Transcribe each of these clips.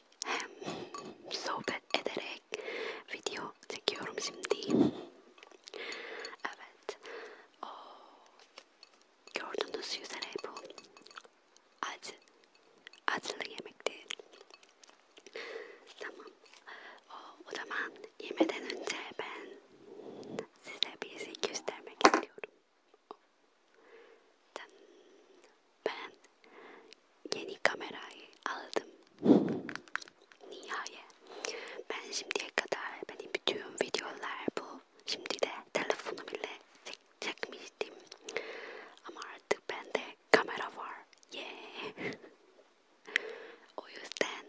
görerek hem sohbet ederek video çekiyorum şimdi. Evet. O gördüğünüz üzere bu acı acılı yemekti. Tamam. O, o zaman yemeden önce ben size bir şey göstermek istiyorum. Ben yeni kamerayı aldım. Nihayet. Ben şimdiye kadar benim bütün videolar bu. Şimdi de telefonu bile çek çekmiştim. Ama artık bende kamera var. Yeah. o yüzden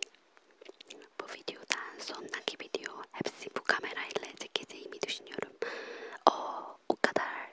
bu videodan sonraki video hepsi bu kamerayla çekeceğimi düşünüyorum. O, o kadar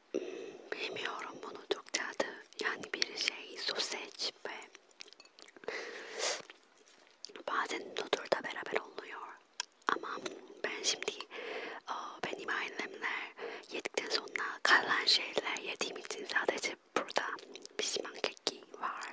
Bilmiyorum bunu Türkçe adı. Yani bir şey soseç ve bazen noodle da beraber oluyor. Ama ben şimdi benim ailemler yedikten sonra kalan şeyler yediğim için sadece burada pişman keki var.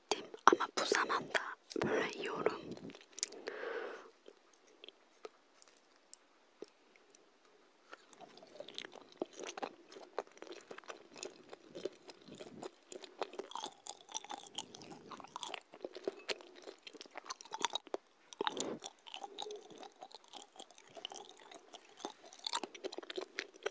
시스템 아마 부산한다. 원래 여름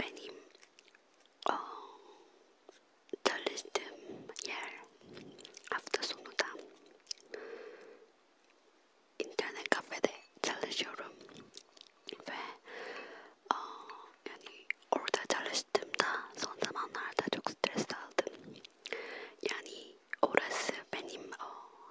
benim o çalıştığım yer hafta sonu da internet kafede çalışıyorum ve o, yani orada çalıştığımda son zamanlarda çok stres aldım yani orası benim o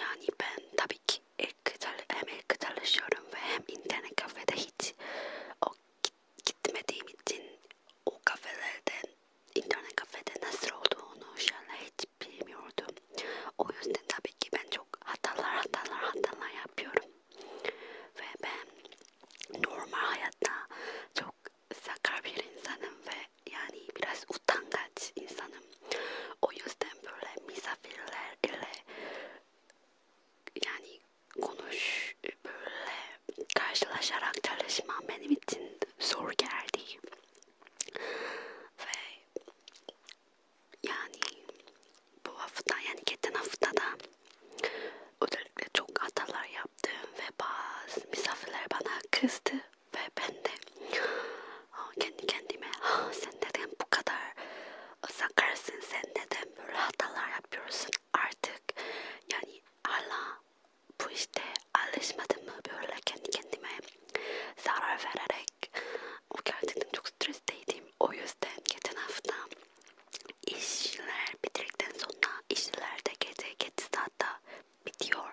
Yani ben tabii ki hem evde çalışıyorum ve hem internet kafede hiç o gitmediğim için o kafelerden internet kafede nasıl olduğunu şöyle hiç bilmiyordum. O yüzden tabii ki ben çok hatalar hatalar hatalar yapıyorum ve ben normal hayatta çok çok sakar bir insanım ve yani biraz utangaç insanım. O yüzden böyle misafirler ile yani konuş böyle karşılaşarak çalışmam benim için zor geldi. Ve yani bu hafta yani geçen haftada özellikle çok hatalar yaptım ve bazı misafirler bana kızdı. Ve ben de kendi kendime sen neden bu kadar sakarsın, sen neden böyle hatalar yapıyorsun artık yani hala bu işte alışmadım mı böyle kendi kendime zarar vererek o gerçekten çok stresteydim o yüzden geçen hafta işler bitirdikten sonra işler de gece geç saatte bitiyor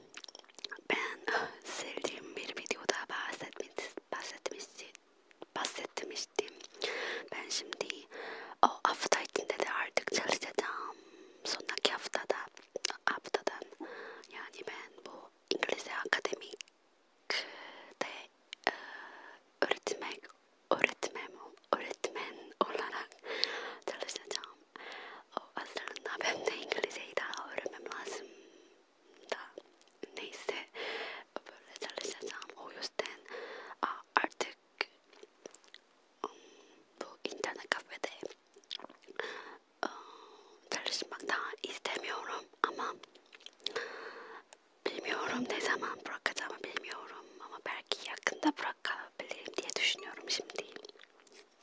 Ben sevdiğim bir videoda bahsetmiş, bahsetmişti, bahsetmiştim. Ben şimdi o hafta içinde de artık çalışacağım. Sonraki haftada, haftadan yani ben bu İngilizce akademik de e, öğretmek, öğretmem, öğretmen olarak çalışacağım. O aslında ben de İngilizceyi daha öğrenmem lazım da neyse böyle çalışacağım o yüzden artık um, bu internet kafede um, çalışmak daha istemiyorum ama bilmiyorum ne zaman bırakacağımı bilmiyorum ama belki yakında bırakabilirim diye düşünüyorum şimdi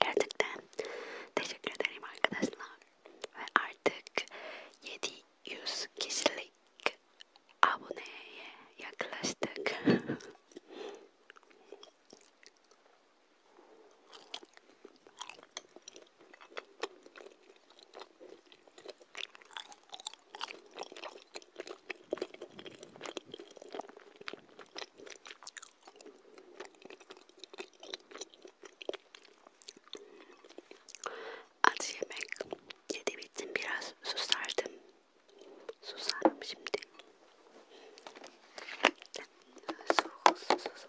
Gerçekten teşekkür ederim arkadaşlar. Ve artık 700 kişilik aboneye yaklaştık. Acı yemek yedi bittim biraz susardım. Susarım şimdi. Soğuk su, su, su.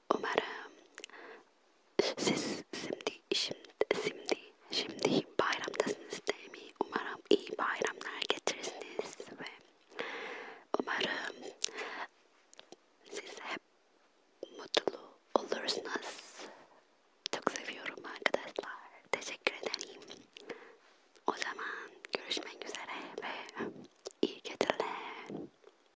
Umarım siz şimdi şimdi şimdi şimdi bayramdasınız değil mi? Umarım iyi bayramlar getirirsiniz ve umarım siz hep mutlu olursunuz. Çok seviyorum arkadaşlar. Teşekkür ederim. O zaman görüşmek üzere ve iyi geceler.